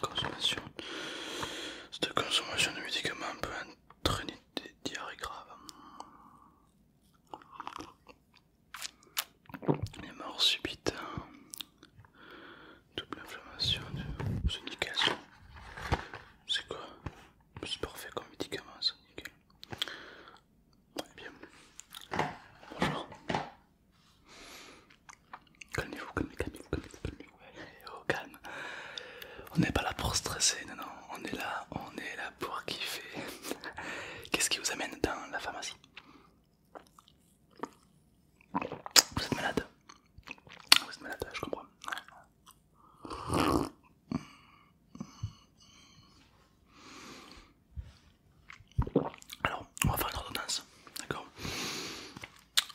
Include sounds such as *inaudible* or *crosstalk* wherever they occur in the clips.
Consommation de consommation de médicaments peut entraîner des diarrhées graves. Les morts subites, hein. double inflammation, de... c'est C'est quoi C'est parfait comme médicament, c'est nickel. bien. Bonjour. Calmez-vous, calmez-vous, calmez-vous, calmez-vous, calmez-vous. calmez-vous, oh, calme. On n'est pas là pour stresser, non, non. On est là, on est là pour kiffer. *laughs* Qu'est-ce qui vous amène dans la pharmacie Vous êtes malade Vous êtes malade, je comprends. Alors, on va faire une ordonnance, d'accord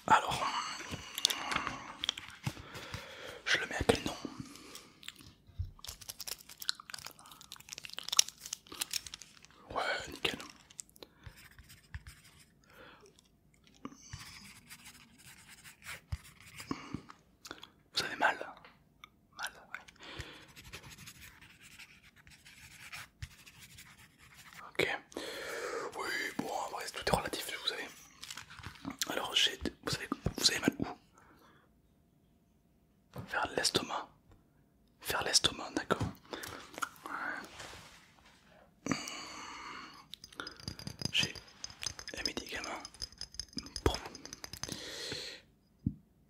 alors, je le mets à quel nom Ouais, nickel. Vous avez mal Mal, Ok. Oui, bon, après tout est relatif, vous savez. Alors, vous savez, vous avez mal où Vers l'estomac. Vers l'estomac, d'accord. J'ai un médicament.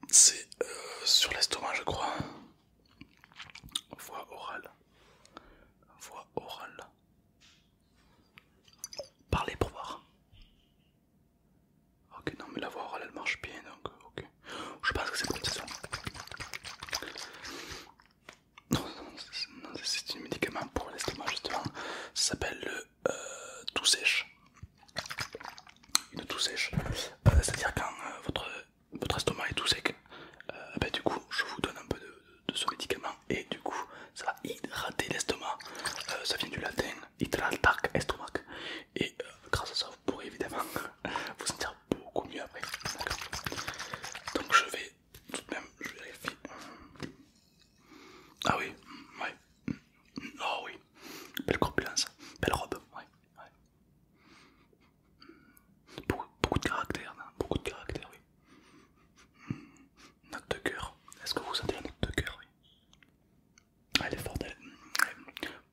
C'est euh, sur l'estomac, je crois. Voix orale. Voix orale. Parler pour voir. Ok, non, mais la voix orale elle marche bien donc, euh, ok. Je pense que c'est comme ça. c'est un médicament pour l'estomac justement. Ça s'appelle le euh, tout sèche. Une tout sèche. Euh, c'est-à-dire quand votre votre estomac est tout sec, euh, ben, du coup je vous donne un peu de, ce médicament et du coup ça va hydrater l'estomac, euh, ça vient du latin estomac et euh, grâce à ça vous pourrez évidemment *laughs* vous sentir beaucoup mieux après. Donc je vais tout de même, je vérifie. Ah oui, ah oui, belle corpulence, belle robe, Beaucoup, de caractère, hein. beaucoup de caractère, oui. Note de cœur, est-ce que vous sentez la note de coeur oui Elle est forte, elle,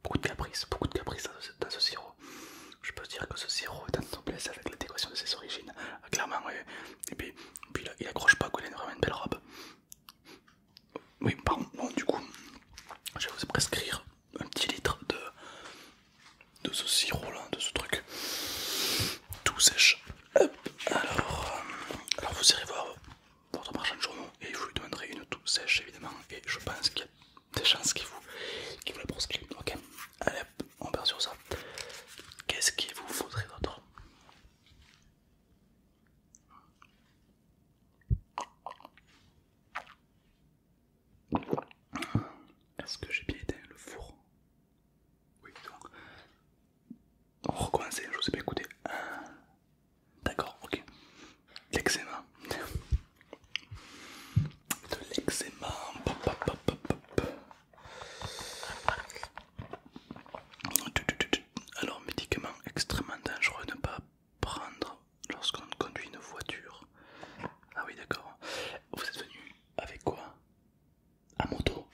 beaucoup de caprices, beaucoup de caprices dans ce, sirop. Je peux dire que ce sirop est en noblesse avec l'adéquation de ses origines, euh, clairement, oui. Et puis, là, il accroche pas, Il a vraiment une belle robe. Oui, pardon, du coup, je vais vous prescrire un petit litre de, de ce sirop de ce truc tout sèche. Alors, euh, alors vous irez voir votre marchand de journaux et vous lui demanderez une tout sèche évidemment et je pense qu'il y a des chances qu'il vous, la Ok, allez on perd sur ça. Qu'est-ce qu'il vous faudrait d'autre est-ce que j'ai bien éteint le four Oui, donc. On je vous ai pas écouté. Ah. D'accord, ok. L'eczéma. De l'eczéma. Alors, médicament extrêmement dangereux ne pas prendre lorsqu'on conduit une voiture. Ah oui, d'accord. Vous êtes venu avec quoi À moto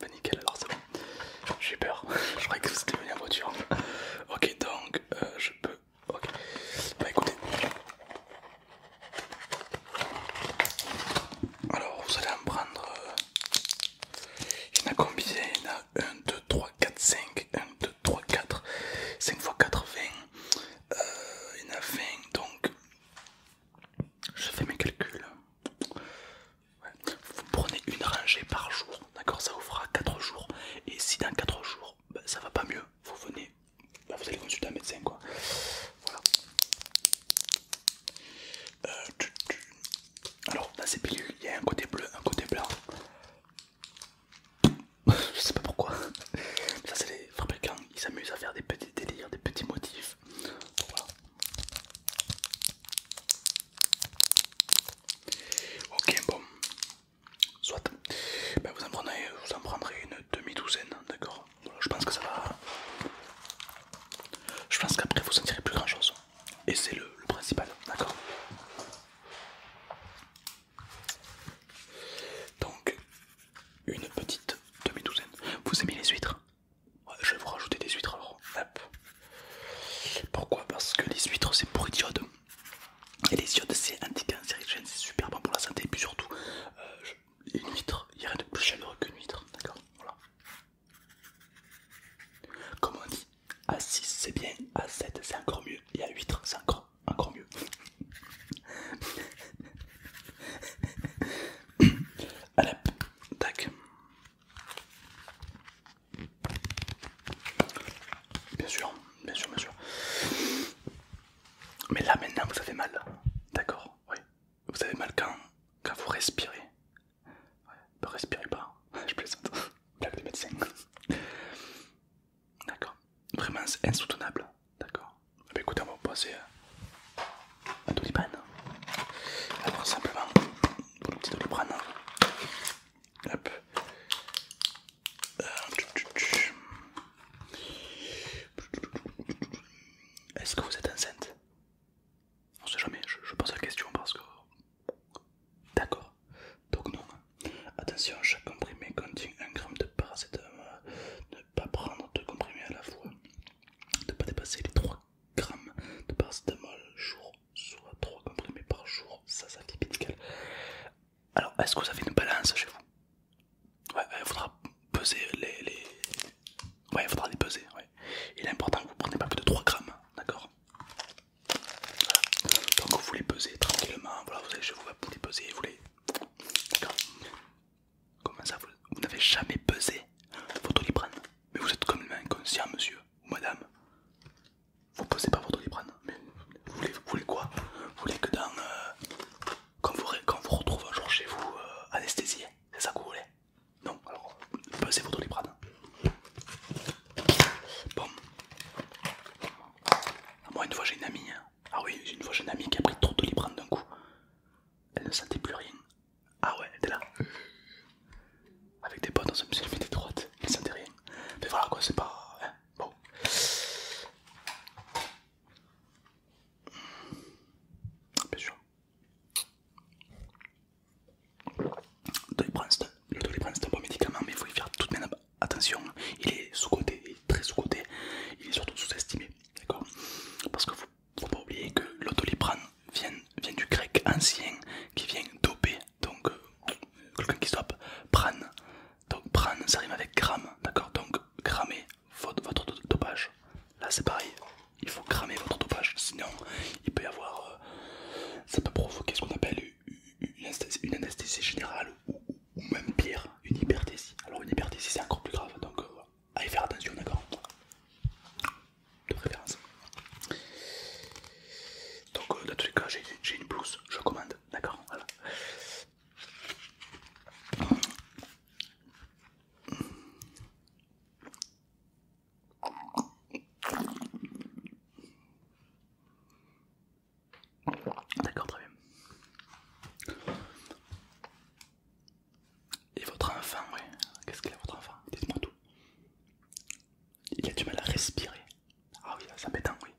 bah *laughs* Nickel, alors c'est bon. J'ai peur. Je croyais que étiez venu en voiture. Ok, donc euh, je peux. Ok. Bah écoutez. Alors vous allez en prendre. Euh, il y en a combien Il y en a 1, 2, 3, 4, 5. 1, 2, 3, 4. 5 x 80 20. Euh, il en a donc je fais mes calculs vous prenez une rangée par jour d'accord ça vous fera 4 jours et si dans 4 jours bah, ça va pas mieux vous venez bah, vous allez consulter un médecin quoi voilà euh, alors dans ces pilules il y a un côté bleu un côté blanc *laughs* je sais pas pourquoi. Ça c'est les fabricants, ils s'amusent à faire des petits délires, des petits motifs. Ok bon, soit. Ben, vous, en prendrez une demi-douzaine, d'accord Je pense que ça va... Je pense qu'après vous sentirez plus grand chose. Et c'est le, le principal, d'accord donc, une petite demi-douzaine. Vous aimez les huîtres Je vais vous rajouter des huîtres alors. Pourquoi Parce que les huîtres c'est pour diodes. Et les iodes c'est anticancérigène, c'est super bon pour la santé. Et puis surtout, euh, une huître, il n'y a rien de plus chaleureux qu'une huître. D'accord Voilà. Comme on dit, à 6 c'est bien, à 7 c'est encore mieux, et à 8 c'est encore encore mieux. Allez, tac. Bien sûr, bien sûr, bien sûr. Mais là maintenant vous avez mal, d'accord Oui. Vous avez mal quand, quand vous respirez. Ouais, ne respirez pas, je plaisante. Blague des médecins. D'accord Vraiment insoutenable. D'accord eh ben, Écoutez, on va passer à Doliprane. Alors, simplement, pour le petit Doliprane. Hein. Hop. Euh, Est-ce que vous êtes enceinte On sait jamais, je, pose la question parce que. D'accord, donc non. Attention, chaque comprimé contient un gramme de paracétamol, pas prendre deux comprimés à la fois, de ne pas dépasser les 3 grammes de paracétamol jour, soit 3 comprimés par jour, ça, ça fait Alors, est-ce que vous avez une balance chez vous Ouais, il faudra peser les. Ouais, il faudra les peser, ouais. Il est important que vous ne preniez pas plus de 3 grammes, d'accord Donc vous les pesez tranquillement, voilà, vous allez chez vous, vous les peser, vous les... D'accord Comment ça, vous, n'avez jamais pesé votre oliprane Mais vous êtes comme un inconscient, monsieur ou madame. Vous pesez pas votre oliprane Mais vous voulez, quoi Vous voulez que dans. Euh, quand, vous, quand vous retrouvez un jour chez vous euh, anesthésiez c'est ça que vous voulez Non, alors pesez votre oliprane Bon. Moi, une fois, j'ai une amie. Hein. Ah oui, une fois j'ai une amie qui a pris trop de librane d'un coup. Elle ne sentait plus rien. Ah ouais, elle était là. Avec des potes, on se mis des droites, elle ne sentait rien. Mais voilà quoi, c'est pas... Hein, bon. Bien sûr. Le doliprane c'est un bon médicament, mais il faut y faire toute de même attention. Il est sous-côté, il est très sous-côté. Il est surtout sous-estimé. D'accord Parce que faut pas oublier que l'autolipran vient, du grec ancien qui vient doper. Donc euh, quelqu'un qui stoppe, prane. Donc prane ça rime avec gramme, d'accord Donc cramer votre, votre dopage. Là c'est pareil, il faut cramer votre dopage, sinon il peut y avoir... Euh, ça peut provoquer ce qu'on appelle une anesthésie, générale ou, ou même pire, une hyperthésie. Alors une hypertésie c'est encore plus grave, donc euh, allez faire attention, d'accord De préférence. Donc euh, dans tous les cas, j'ai une blouse, je commande, d'accord Voilà. D'accord, très bien. Et votre enfant, oui. qu'est-ce qu'il a votre enfant Dites-moi tout. Il a du mal à respirer. Ah oui, ça m'étonne, oui.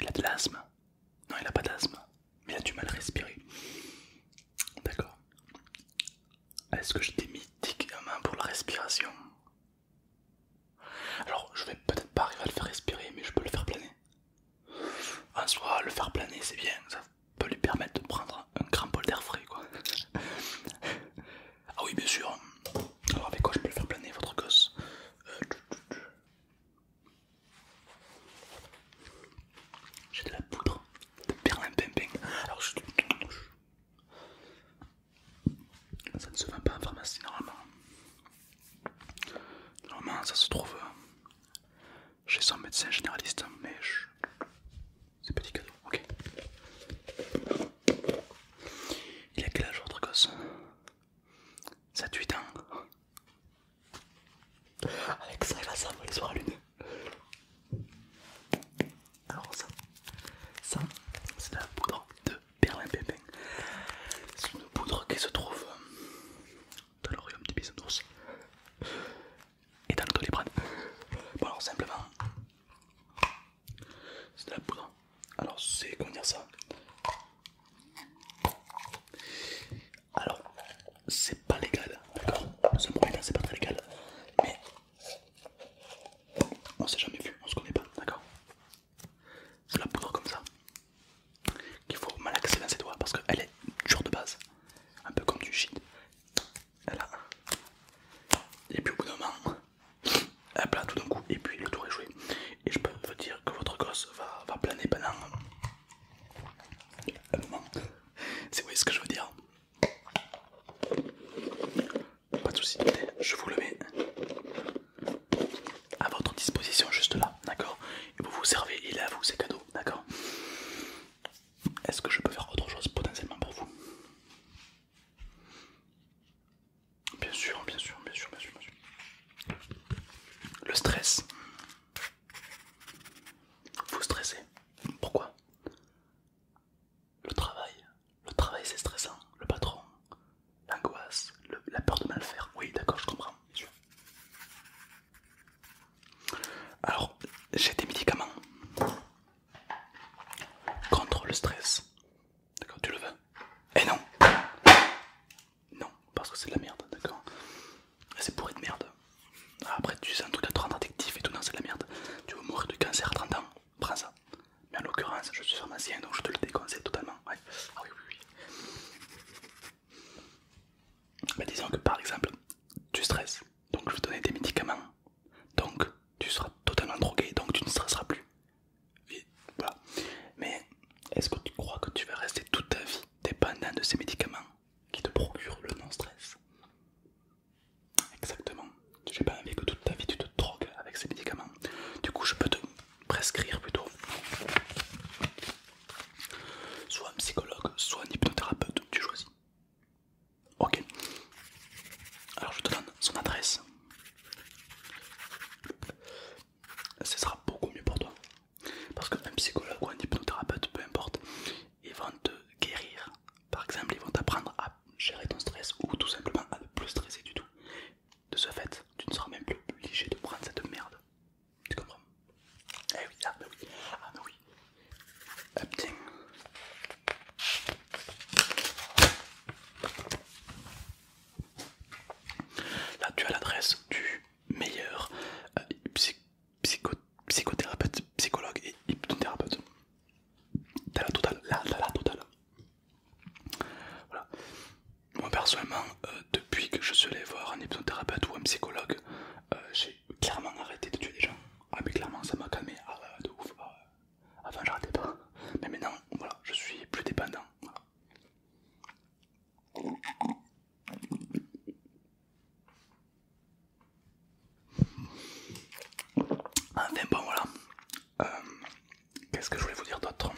Il a de l'asthme. Non, il n'a pas d'asthme, mais il a du mal à respirer. D'accord. Est-ce que je t'ai mis médicaments pour la respiration Alors, je vais peut-être pas arriver à le faire respirer, mais je peux le faire planer. En soi, le faire planer, c'est bien, ça peut lui permettre de prendre un grand bol d'air frais, quoi. ah oui, bien sûr. Alors, avec quoi je peux le faire planer, votre gosse euh, J'ai de la poudre de perlimpinpin. Alors, ça ne se vend pas en pharmacie normalement. Normalement, ça se trouve euh, chez son médecin généraliste, mais je... c'est petit cadeau, ok. Il a quel âge votre gosse 7-8 ans. Avec ça, il va s'envoler sur la lune. Alors ça, ça c'est la poudre de Pimpin. C'est une poudre qui se trouve dans petit royaume de et dans le colibran. Bon, alors simplement, c'est de la poudre. Alors, c'est comment dire ça Alors, c'est pas légal, d'accord c'est pas très légal, mais on s'est jamais vu, on se connaît pas, d'accord C'est la poudre comme ça, qu'il faut malaxer dans ses doigts parce qu'elle est dure de base, un peu comme du shit. Voilà. Et puis au bout d'un moment, elle plane tout d'un coup et puis le tour est joué. Et je peux vous dire que votre gosse va, va planer pendant un moment. Si vous voyez ce que je veux dire. Pas de soucis, je vous le mets à votre disposition juste là d'accord Et vous vous servez, il est à vous, c'est cadeau, d'accord Est-ce que je peux faire autre chose potentiellement pour vous Bien sûr, bien sûr, bien sûr, bien sûr, bien sûr. Le stress. Vous stressez. Pourquoi Le travail. Le travail c'est stressant. Le patron. L'angoisse. La peur de mal faire. Oui, d'accord, je comprends. Alors, j'ai des médicaments contre le stress. D'accord, tu le veux Eh non Non, parce que c'est de la merde, d'accord C'est pourri de merde. Après, tu sais, un truc de 30 rendre et tout, non, c'est de la merde. Tu veux mourir de cancer à 30 ans Prends ça. Mais en l'occurrence, je suis pharmacien donc je te le déconseille totalement. Ah oui, oui, oui. Bah, disons que par exemple, tu stresses, donc je vais te donner des médicaments, donc tu seras totalement drogué, donc tu ne stresseras plus. Mais est-ce que tu crois que tu vas rester toute ta vie dépendant de ces médicaments qui te procurent le non-stress Exactement. J'ai pas envie que toute ta vie tu te drogues avec ces médicaments. Du coup, je peux te prescrire plutôt Soit un psychologue, soit un hypnothérapeute, tu choisis. Ok. Alors je te donne son adresse. Ce sera beaucoup mieux pour toi. Parce qu'un psychologue ou un hypnothérapeute, peu importe, ils vont te guérir. Par exemple, ils vont t'apprendre à gérer ton stress ou tout simplement à ne plus stresser du tout. De ce fait, tu ne seras même plus obligé de prendre cette merde. Tu comprends Eh oui, ah oui, ah oui. Ah, là, tu as l'adresse du meilleur euh, psychothérapeute, psychologue et hypnothérapeute. T'as la totale, là, la totale. Voilà moi personnellement, euh, depuis que je suis allé voir un hypnothérapeute ou un psychologue, euh, j'ai clairement arrêté de tuer des gens. Ah mais clairement ça m'a calmé, ah de ouf. Ah, avant j'arrêtais pas, mais maintenant voilà, je suis plus dépendant. Enfin bon voilà. Euh, qu'est-ce que je voulais vous dire d'autre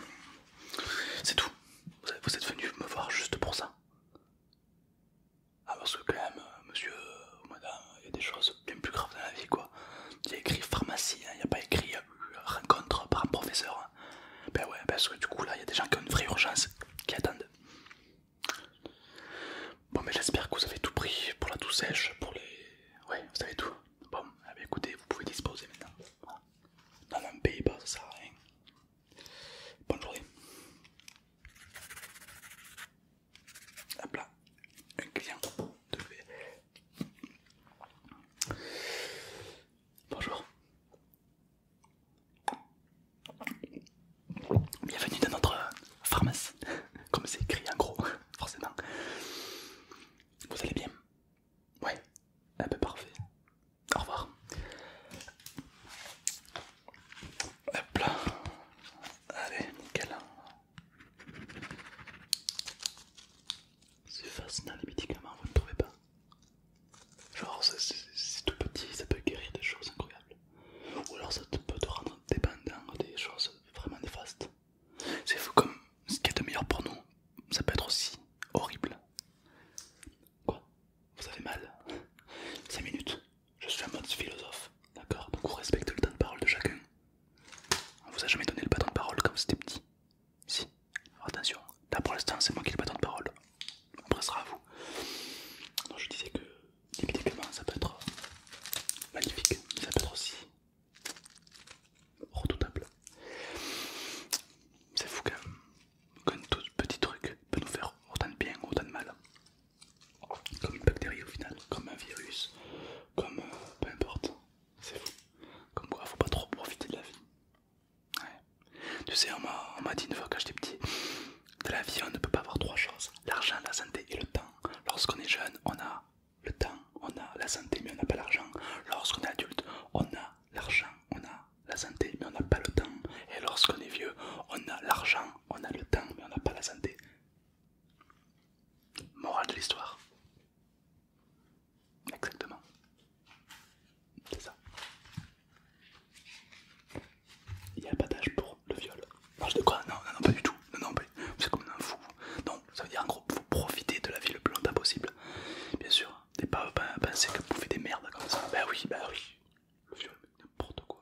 C'est tout. Vous êtes venu me voir juste pour ça. Ah, parce que quand même, euh, monsieur ou madame, il y a des choses bien plus graves dans la vie, quoi. Il y a écrit pharmacie, hein, il n'y a pas écrit euh, rencontre par un professeur. Hein. Ben ouais, parce que du coup, là, il y a des gens qui ont une vraie urgence qui attendent. Bon, mais j'espère que vous avez tout pris pour la douce sèche, pour les. Ouais, vous savez tout. Bon, eh écoutez, vous pouvez disposer maintenant. Dans un paye pas ça sert à rien. Bonjour. Hop là, un client de... Bonjour. Bienvenue dans notre pharmacie, comme c'est écrit en gros, *laughs* forcément. Vous allez bien Ouais, un peu parfait. Au revoir. Hop là. Allez, nickel. C'est fascinant les médicaments, vous ne trouvez pas Genre, c'est tout petit, ça peut guérir des choses incroyables. Ou alors ça peut te rendre dépendant des choses vraiment néfastes. C'est comme ce qui est de meilleur pour nous, ça peut être aussi horrible. Quoi vous avez mal. 5 minutes. Je suis un mode philosophe, d'accord Donc on respecte le temps de parole de chacun. On vous a jamais donné le bâton de parole quand vous étiez petit. Si, Alors attention, là pour l'instant c'est moi qui ai le bâton de parole. Après ce à vous. je disais que typiquement ça peut être magnifique, mais ça peut être aussi redoutable. C'est fou quand même qu'un tout petit truc peut nous faire autant de bien ou autant de mal. Comme une bactérie au final, comme un virus, comme euh, peu importe, c'est fou. Comme quoi, faut pas trop profiter de la vie. Tu sais, on m'a dit une fois quand j'étais petit, de la vie on ne peut pas avoir trois choses, l'argent, la santé et le temps. Lorsqu'on est jeune, on a le temps, on a la santé mais on n'a pas l'argent. Lorsqu'on est adulte, on a l'argent, on a la santé, mais on n'a pas le temps. Et lorsqu'on est vieux, on a l'argent, on a le temps, mais on n'a pas la santé. Morale de l'histoire. Exactement. C'est ça. Il y a pas d'âge pour le viol. de quoi non, non, pas du tout. Non, non, vous comme un fou. Donc, ça veut dire en gros, vous profitez de la vie le plus longtemps possible. Bien sûr, T'es pas pensé que pouvez des merdes comme ça. Bah oui, bah oui, le viol, n'importe quoi.